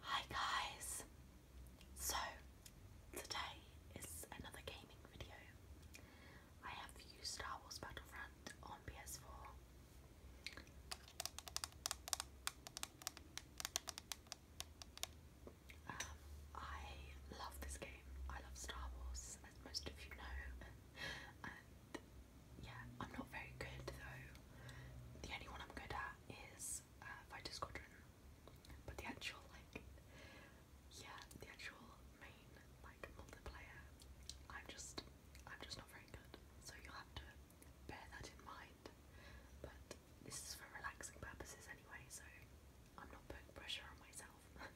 Hi guys! So today is another gaming video. I have used Star Wars Battlefront on PS4. Um, I love this game. I love Star Wars, as most of you know. and yeah, I'm not very good though. The only one I'm good at is uh, fighter Squadron, but the actual like, yeah, the actual main like multiplayer, I'm just, I'm just not very good. So you'll have to bear that in mind. But this is for relaxing purposes anyway, so I'm not putting pressure on myself.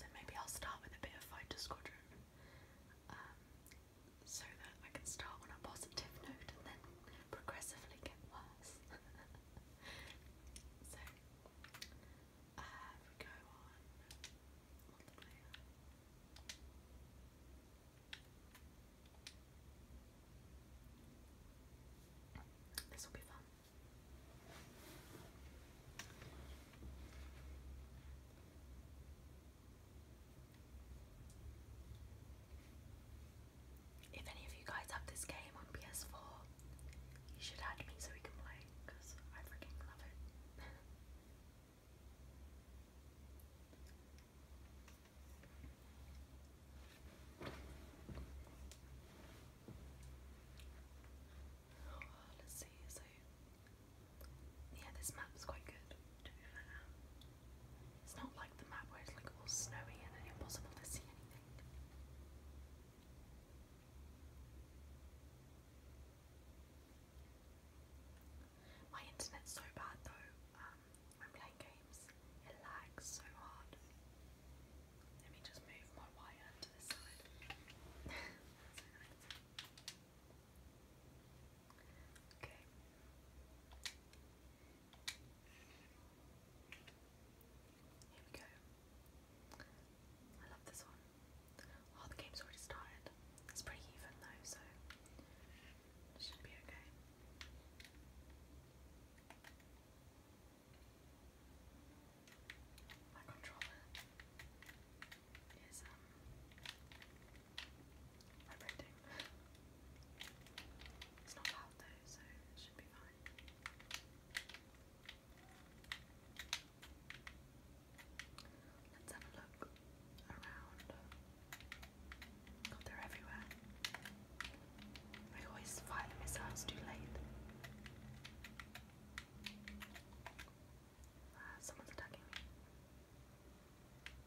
so maybe I'll start with a bit of Fighter Squadron. Um, so that I can start on a positive note and then progressively get worse. so, uh, we go on, This will be fun. If any of you guys have this game on PS4, you should add me so we can play because I freaking love it. Oh, let's see, so yeah, this map's quite good, It's not like the map where it's like all snowy and impossible to see anything. My internet's so bad though, um, when playing games, it lags so hard. Let me just move my wire to this side. Okay. Here we go. I love this one. Oh, the game's already started. It's pretty even though, so should be okay. My controller is um Let's have a look around. God, they everywhere. I always fire the missiles too late. Ah, someone's attacking me.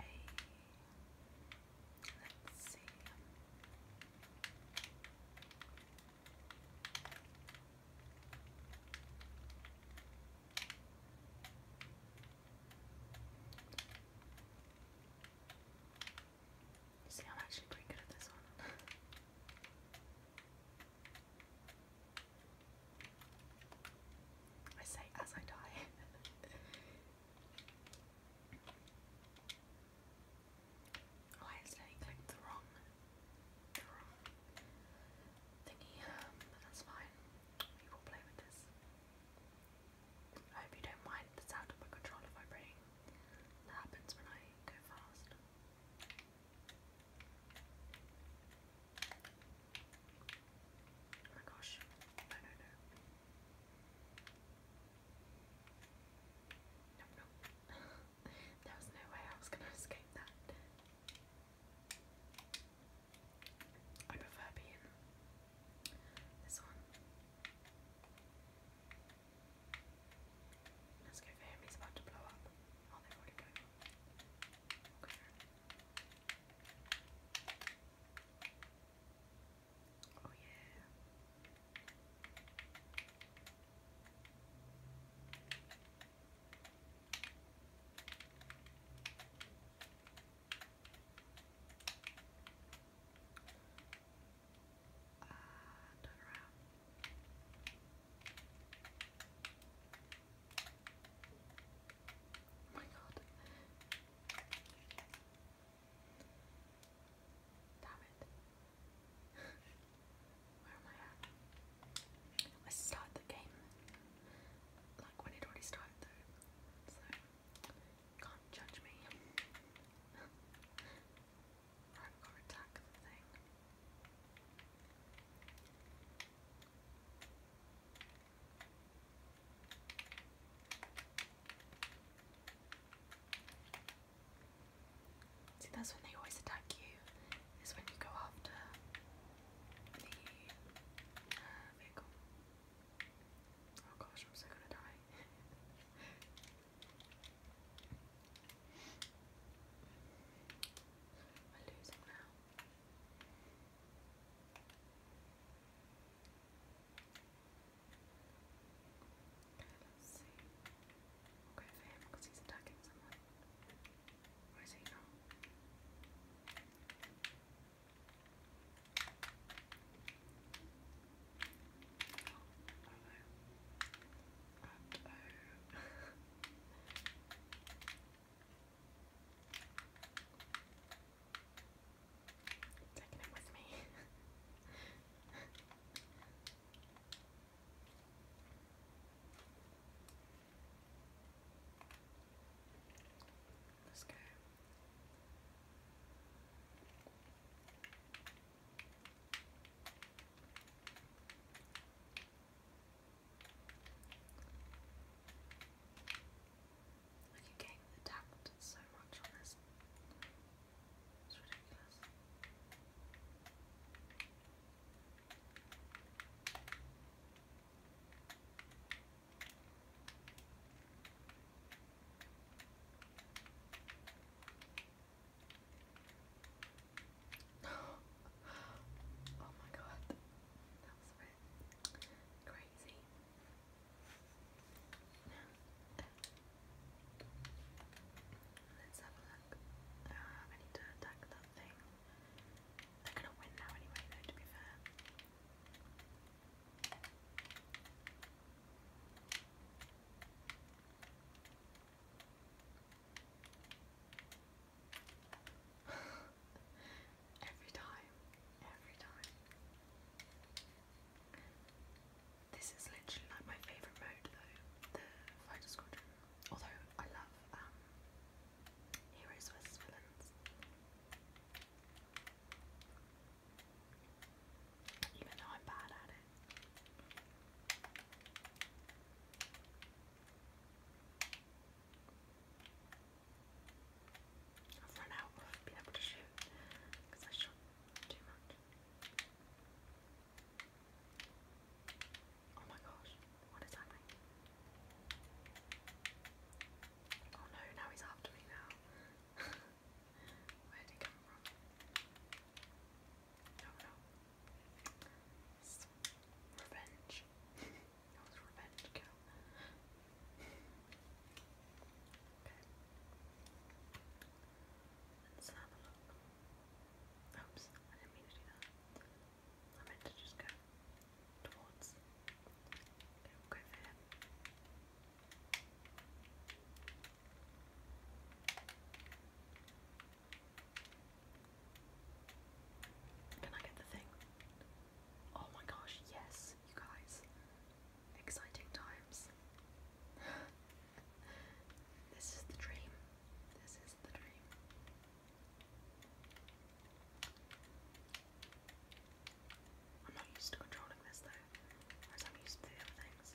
A. Let's see. See, I'm actually pretty good at this one. I say as I die. oh, I accidentally clicked the wrong, thingy. Um, that's fine. We play with this. I hope you don't mind the sound of my controller vibrating. That happens when I go fast. Oh my gosh. No, no, no. No, no. there was no way I was going to escape that. I prefer being this one. Let's go for him, he's about to blow up. Oh, they already got it. Okay. Oh, yeah. Uh, turn around. Oh my god. Damn it. Where am I at? I start the game like when it already started though. So can't judge me. right, i thing. See, that's when they always attack you, is when you go after the uh, vehicle. Oh gosh, am so gonna die. We're losing now. Okay, let's see. We'll because he's attacking someone. he not? Oh, oh no. Oh. Oh, oh. Taking it with me. Let's go. Like a game tapped so much on this. It's ridiculous. oh my god, that was a bit crazy. Let's have a look. Uh, I need to attack that thing. They're gonna win now anyway though, to be fair every time, every time. This is literally like my favourite mode though, the Fighter Squadron. Although I love um, Heroes versus Villains. Even though I'm bad at it. I've run out of being able to shoot because I shot too much. Oh my gosh, what is happening? Oh no, now he's after me now. Where did he come from? don't revenge. that was revenge Okay. Let's have a look. Oops, I didn't mean to do that. I meant to just go towards. Okay, can I get the thing? Oh my gosh, yes, you guys. Exciting times. this is the dream. This is the dream. I'm not used to controlling this though, whereas I'm used to the other things.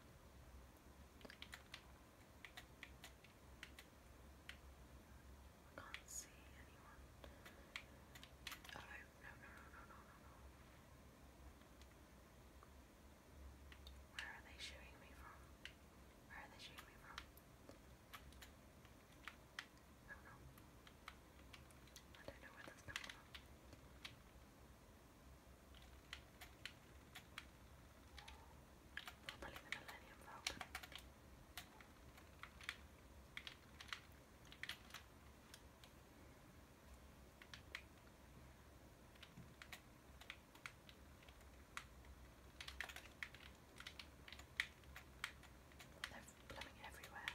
I can't see anyone. Oh, no, no, no, no, no, no, Where are they shooting me from? Where are they shooting me from? Oh no. I don't know where that's coming from. Probably the Millennium Falcon. They're blooming everywhere.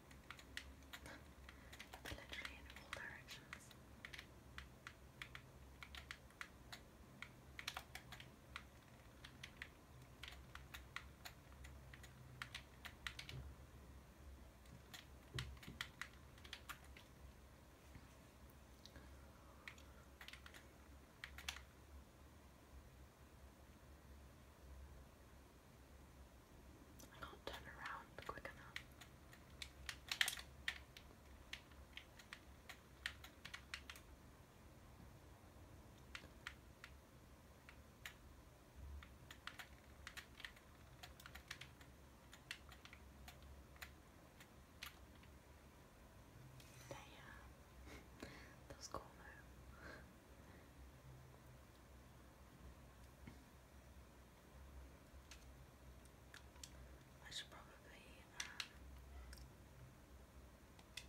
but literally in all directions. I can't turn around quick enough. There you are. I should probably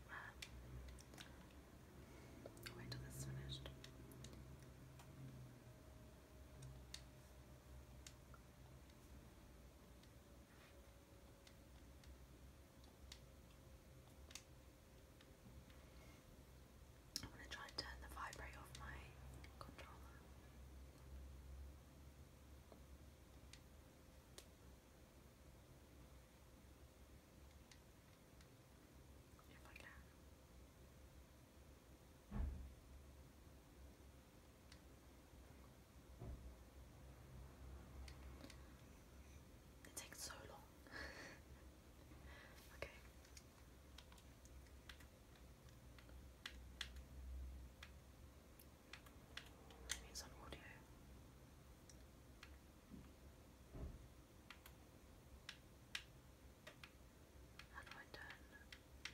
uh, uh, wait till this is finished. I'm going to try and turn the vibrate off my controller. If I can. It takes so long. okay, Maybe it's on audio. How do I turn the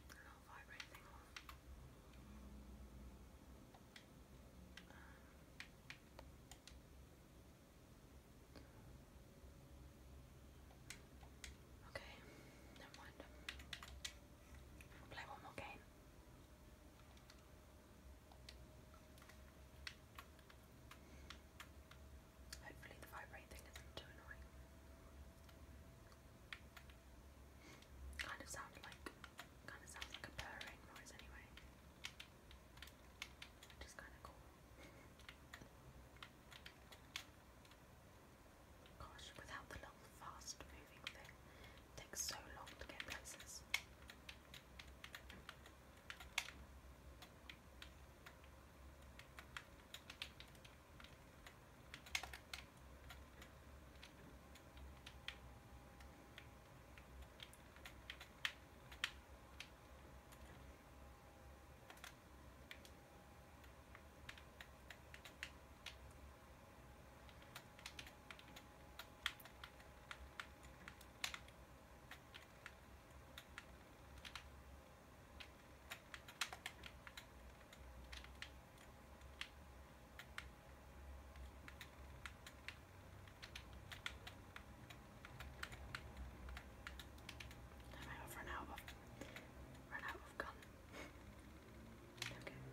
little vibrate thing off? Um, Okay, never mind. play one more game. Hopefully the vibrating isn't too annoying. Kind of sounds like kind of sounds like a purring noise anyway. Which is kinda cool. Gosh, without the little fast moving thing, takes so long to get places. I'm out for an run out of gun. okay. Oops.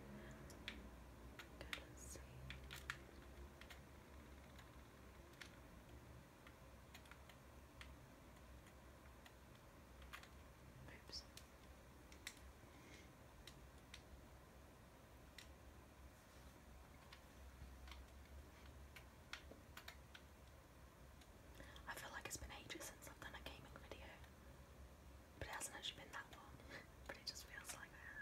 I feel like it's been ages since I've done a gaming video, but it hasn't actually been that long, but it just feels like that.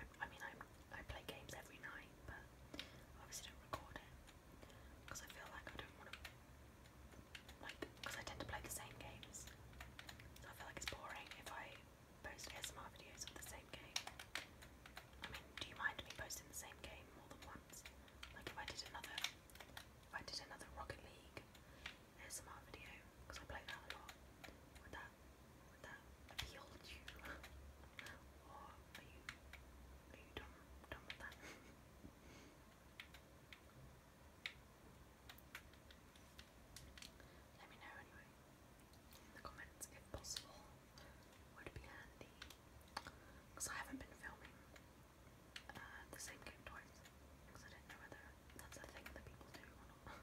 I, mean, i I play games every night, but obviously don't record it, because I feel like I don't want to, like, because I tend to play the same games, so I feel like it's boring if I post ASMR videos of the same game. I do you mind me posting the same game more than once? Like if I did another, if I did another Rocket League ASMR video, because I play that a lot. Would that, would that appeal to you? or are you, are you done, done with that? Let me know anyway in the comments if possible would be handy. Because I haven't been filming uh, the same game Because I didn't know whether that's a thing that people do or not.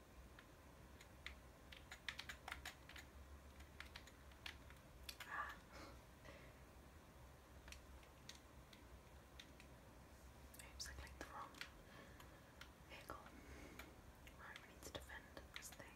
Ah. Oops, I clicked the wrong vehicle. Right, we need to defend this thing.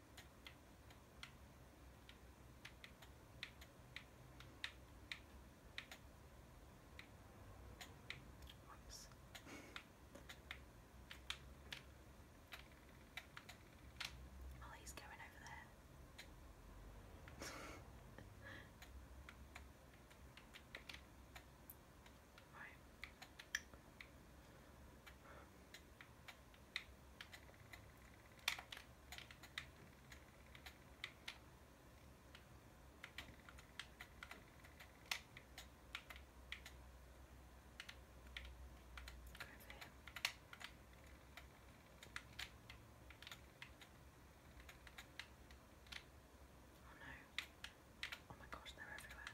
Oops. oh, he's going over there. right. Oh no. Oh my gosh, they're everywhere.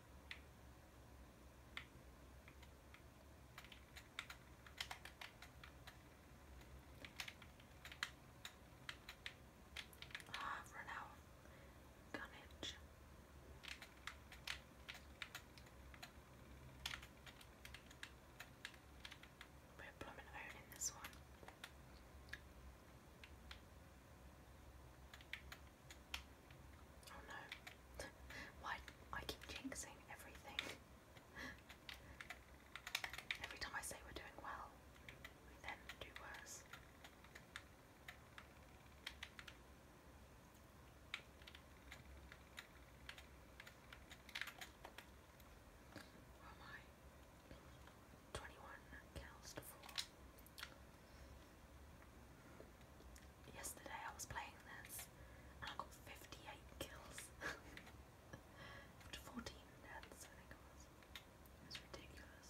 Ah, for now, Gunnage. We're blooming iron in this one. Oh no. Why I keep jinxing everything. Every time I say we're doing well, we then do worse. Oh my. 21 kills to 4. Yesterday I was playing this and I got 58 kills. After 14 deaths, I think it was. It ridiculous.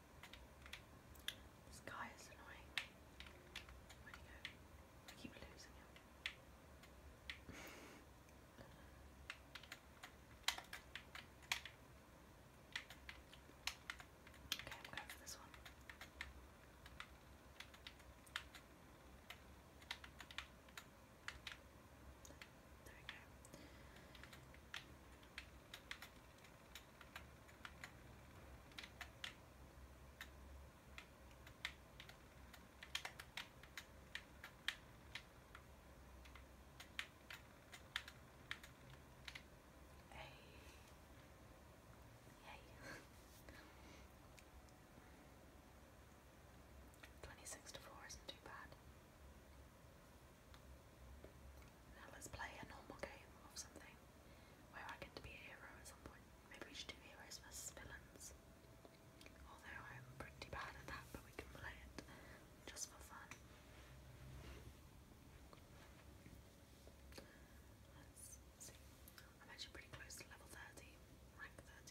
This guy is annoying. Where'd he go? I keep losing him. okay, I'm going for this one. There we go. Hey. Hey. 26 to 4 isn't too bad. Now let's play a normal game of something where I get to be a hero at some point. Maybe we should do heroes versus villains. Although I'm pretty bad at that, but we can play it just for fun. Let's see. I'm actually pretty close to level 30, rank 30.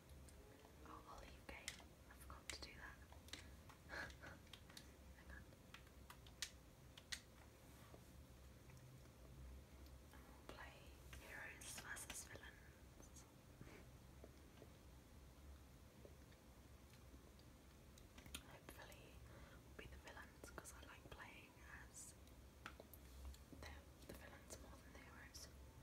Oh, olive game. I forgot to do that. Hang on. And we play heroes versus villains. Hopefully, be the villains because I like playing as the villains more than the heroes.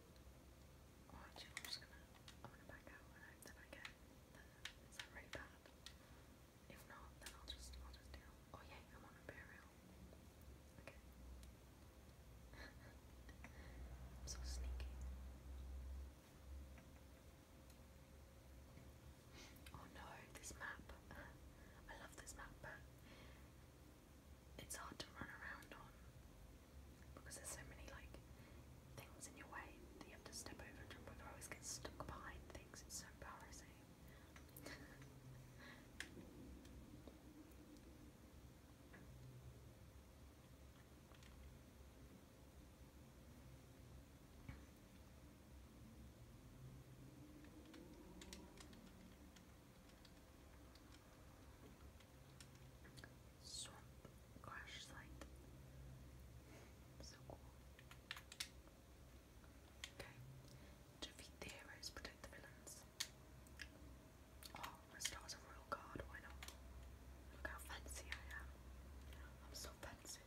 I'm just gonna, I'm gonna back out and I get the, is that really bad? If not, then I'll just, I'll just deal. Oh yeah, I'm on Imperial. Okay. I'm so sneaky. Oh no, this map. I love this map, but it's hard to run around on because there's so many like things in your way that you have to step over and jump over. always get stuck behind things. It's so embarrassing swamp crash So cool. Okay. Defeat the heroes, protect the villains. Oh, I start a royal guard, why not? Look how fancy I am. I'm so fancy.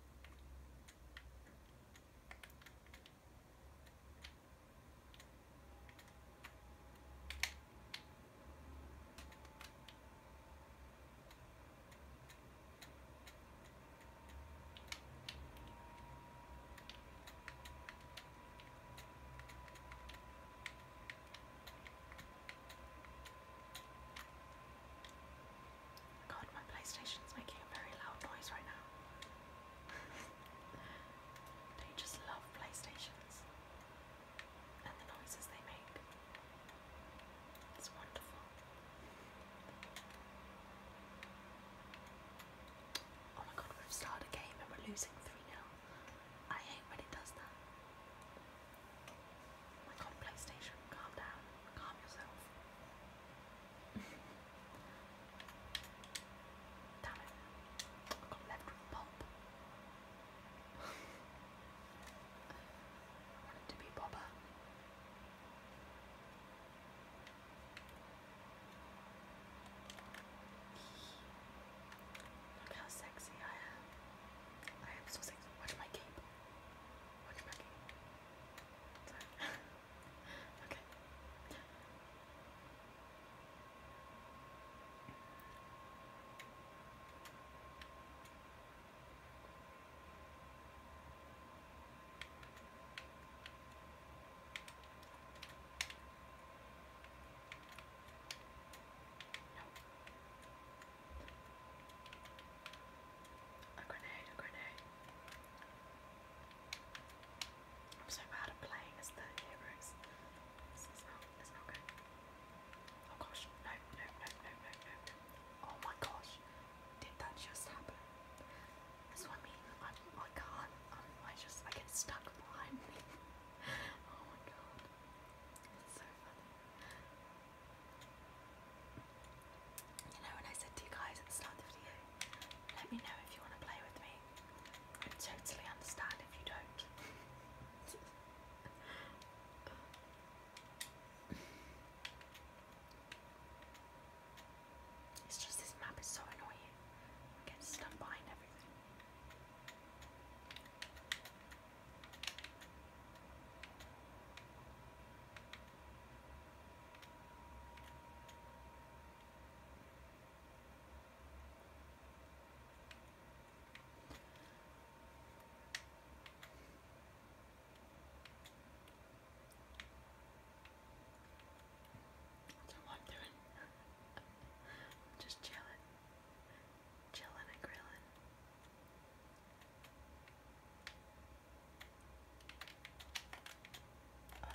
God, my PlayStation's making a very loud noise right now. do you just love PlayStations? Oh my god, we've started a game and we're losing 3 0. I hate when it does that. Oh my god, PlayStation, calm down, calm yourself. Damn it. I got Wanted to be Boba. Look how sexy I am. I am so sexy. Watch my cape. Watch my cape. Sorry. okay. A grenade, a grenade. I'm so bad at playing as the heroes. This is not Oh gosh, no, no, no, no, no, no, Oh my gosh, did that just happen? I mean, I'm, I i can not um, i just, I get stuck behind oh my god, it's so funny. You know when I said to you guys at the start of the video, let me know if you want to play with me. I totally understand if you don't. It's just this map is so annoying. I stuck behind everything. Just chillin, chillin and grillin. on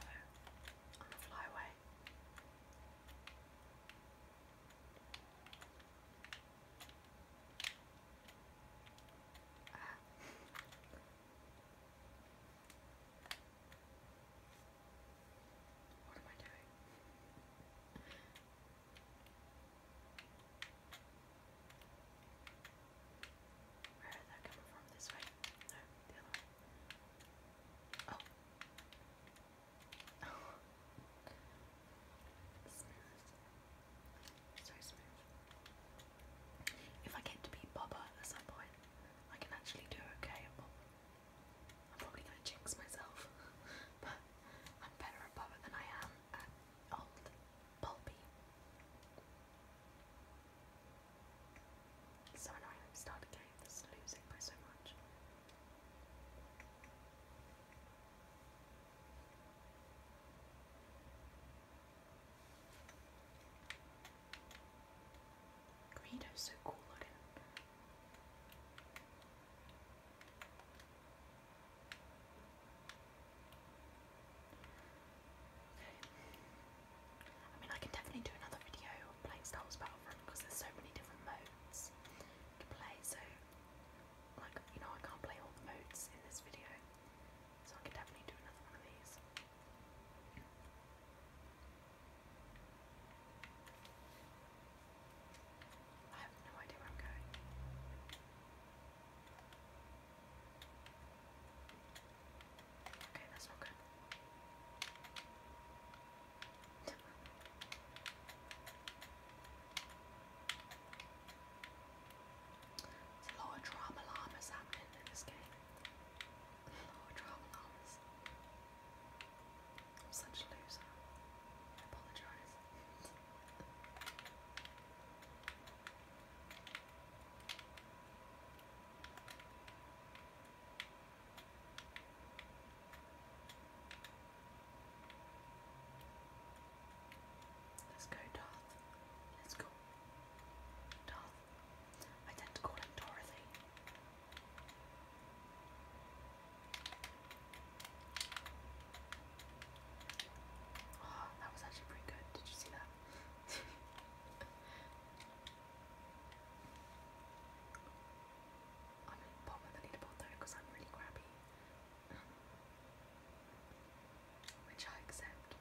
the flyway. What am I doing? Where that come from? This way? No, the other way. Oh. If I get to be Bobber at some point, I can actually do okay I'm probably going to jinx myself, but I'm better at Bobber than I am at old Pulpy. So annoying, starting a game by so much. Greedo's so cool I mean, I can definitely do another video on playing Star Wars Battlefront because there's so many different modes to play, so like you know I can't play all the modes in this video, so I could definitely do another one of these. I have no idea where I'm going. Okay, that's not there's a lot of drama llamas happening in this game. A lot of drama llamas. I'm such a loser. I apologise. Let's go, Darth. Let's go. Darth. I tend to call him Dorothy. Oh, that was actually pretty good. Did you see that? I'm in bottom of the leaderboard though I'm really grabby. Which I accept.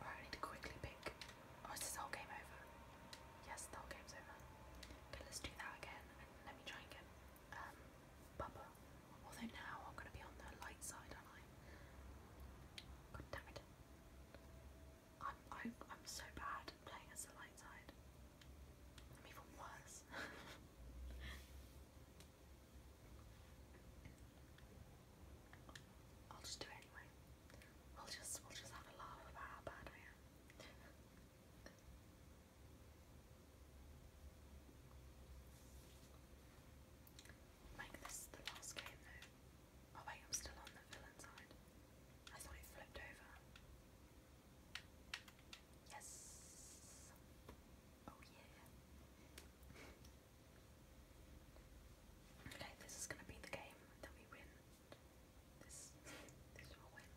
I need to quickly pick. Oh, is this game over? Yes, the whole game's over. Okay, let's do that again let me try and um Bubba. Although now I'm gonna be on the light side, are I? God I'm I am i am so bad playing as the light side. I mean, if it I'll just do it anyway. We'll just we'll just have a laugh about how bad I am. Make this the last game though. Oh wait, I'm still on the villain side. I thought it flipped over. Yes. Oh yeah. okay, this is gonna be the game that we win. This this will win.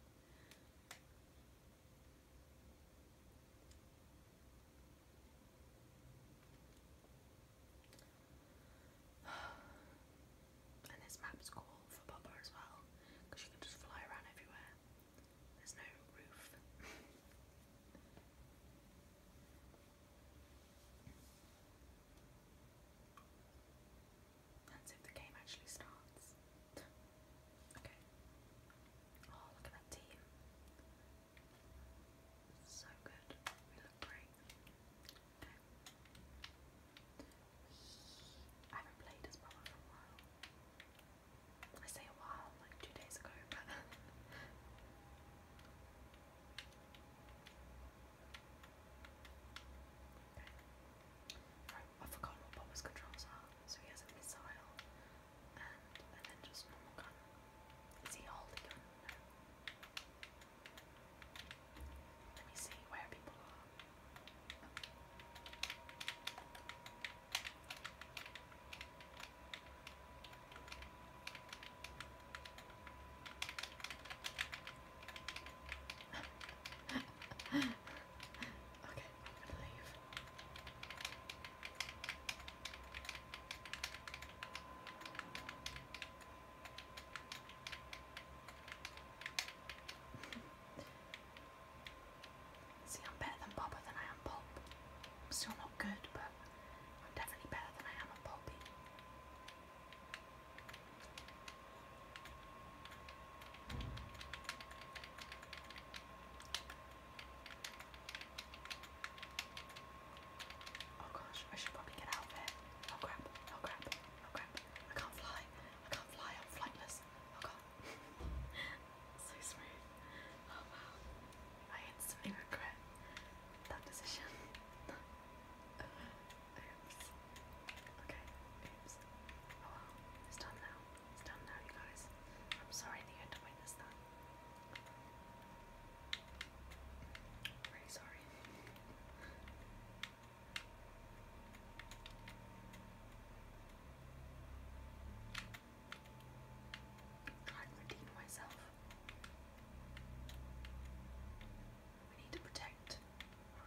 and this map's cool for Bubba as well, because you can just fly around everywhere. There's no That's if the game actually starts. Okay. Oh, look at that team. So good. We great. I haven't played this proper for a while. I say a while, like two days ago, Right, I forgot what Bob's controls are. So he has a missile and, and then just normal gun. Is he holding gun? Let me see where people are okay, I'm gonna leave. See, I'm better than Bobber than I am Pop. I'm still not good, but I'm definitely better than I am at Poppy. Oh gosh, I should probably get out of here. Oh crap, oh crap, oh crap. I can't fly, I can't fly, I'm flightless. Oh god. so smooth. Oh wow. I instantly regret that decision. Uh, oops. Okay. Oops. Oh wow. It's done now. It's done now, you guys. I'm sorry that had to witness that. i sorry. Try and redeem myself. We need to protect. Oh,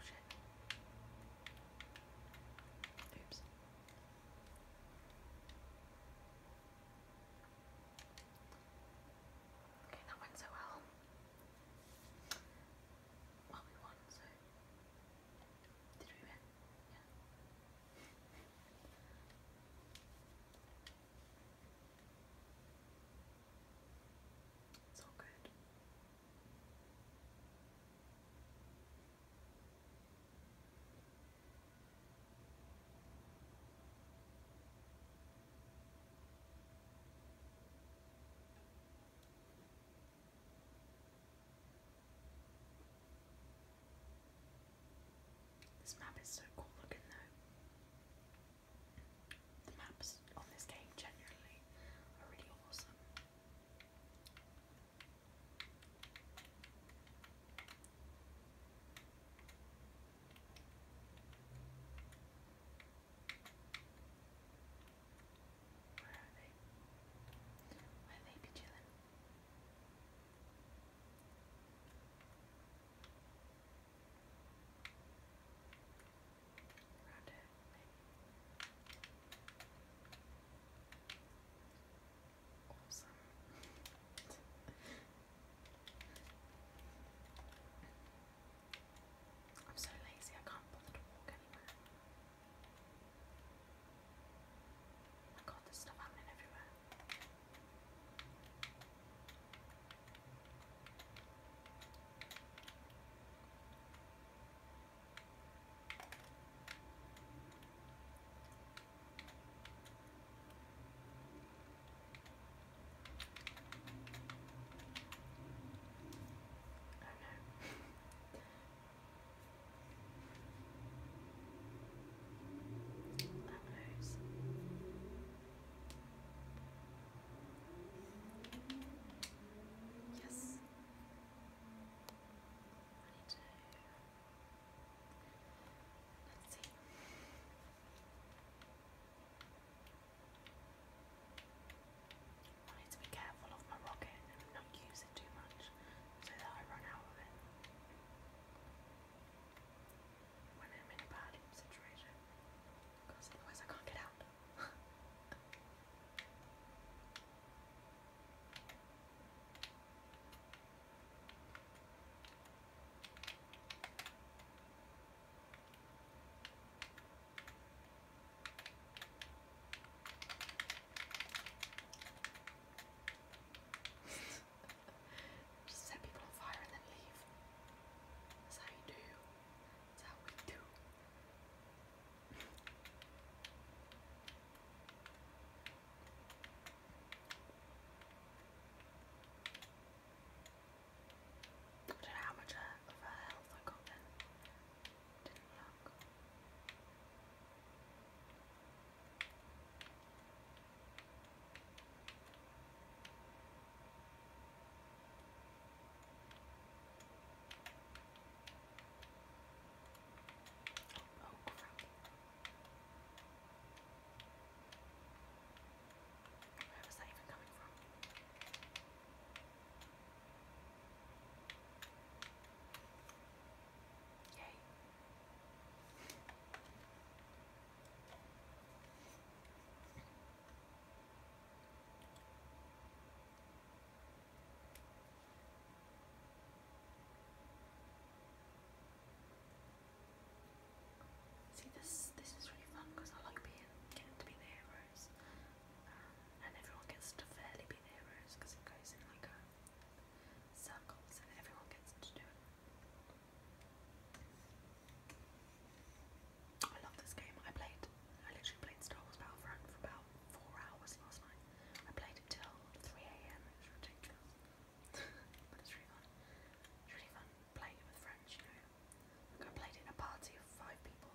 Oops. Okay, that went so well. Well, we won, so did we It's all good. This map is so cool looking though. The maps on this game generally are really awesome. Where are they? Where they be chilling? Around here, Awesome. I'm so lazy, I can't bother to walk anymore. I got this there's stuff happening everywhere. Oh no. That nose. Yes. I need Let's see. I need to be careful of my rocket and not use it too much so that I run out of it when I'm in a bad situation because otherwise I can't get out. Just set people on fire and then leave. That's how you do. That's how we do. don't know how much uh, uh, health I got then to the rock. Oh, oh crap. Where was that even coming from? Yay. See this this is really fun because I like being getting to be the heroes and everyone gets to fairly be the because it goes in like a circle, so everyone gets to do it. I love this game. I played, I literally played Star Wars Battlefront for about four hours last night. I played it till 3am, it was ridiculous. but it's really fun. really fun playing it with friends, you know. played in a party of five people.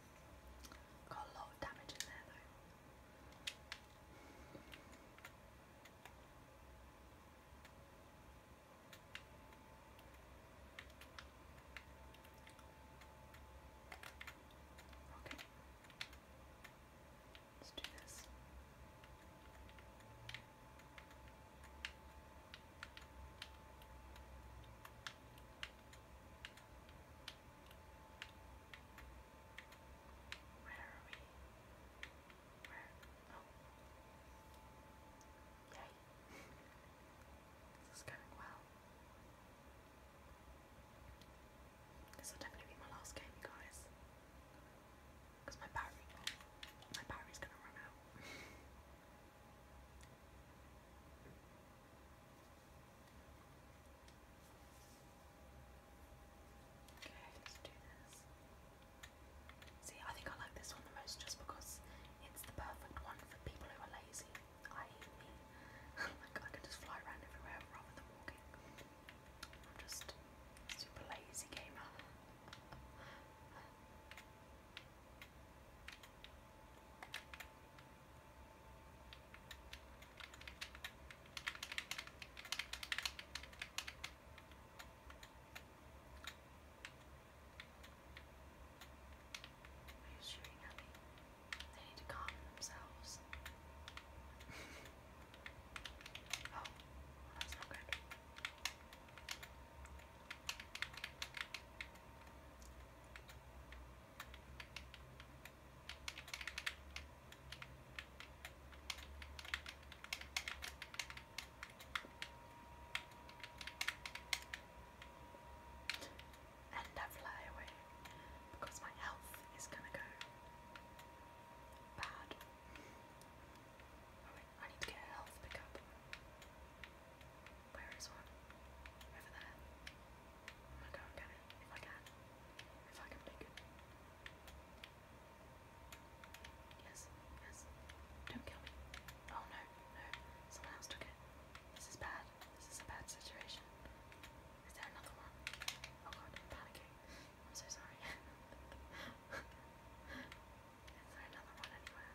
Got a lot of damage in there though. Okay. Let's do this. Where are we? Where? Oh. Yay. this going well. This will definitely be my last game, you guys. Because my battery, my battery's gonna run out. Okay, let's do this. See, I think I like this one the most just because it's the perfect one for people who are lazy, i.e. me. like, I could just fly around everywhere rather than walking. I'm just super lazy gamer. He's shooting at me. They need to calm themselves. oh, well, that's not good. And I fly away because my health is gonna go bad. I need to get a health pickup. Where is one? Over there. I'll if I can. If I can make it. Yes, yes. Don't kill me. Oh no, no. Someone else took it. This is bad. This is a bad situation. Is there another one? Oh god, I'm I'm so sorry. is there another one anywhere?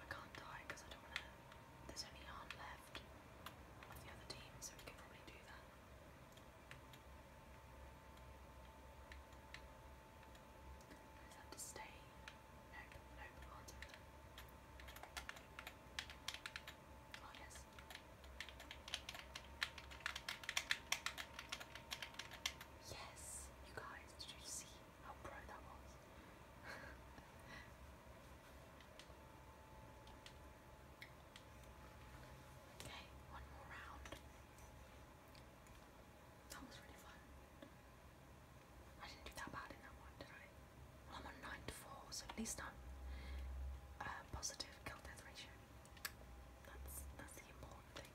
I can't die because I don't want to. There's only arm left of the other team, so we can probably do that. I just have to stay. Nope, nope, I can't oh, Yes, you guys, did you see? okay, one more round. That was really fun. I didn't do that bad in that one, did I? Well, I'm on 9 to 4, so at least I'm uh, positive kill death ratio. That's, that's the important thing.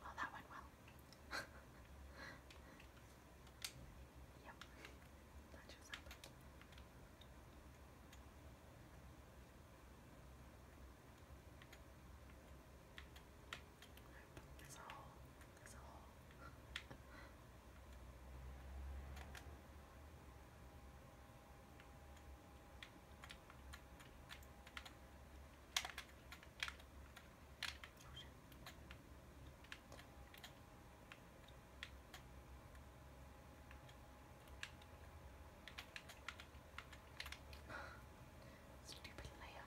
Well, oh, that went well. yep, that just happened. Nope, Stupid layer.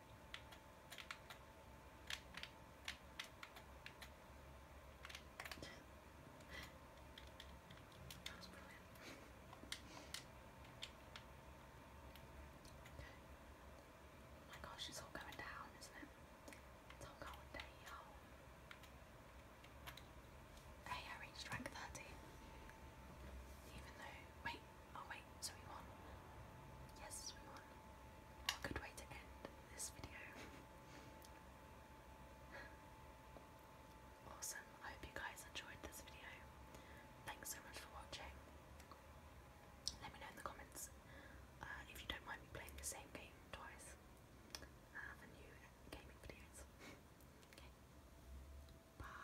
that was Oh my gosh, it's all going down, isn't it? It's all going down. Hey, I reached rank 13. Even though, wait, oh wait, so we won. Yes, we won. good way to end this video. awesome, I hope you guys enjoyed this video. Thanks so much for watching. Let me know in the comments uh, if you don't mind me playing the same game twice uh, new gaming videos. bye.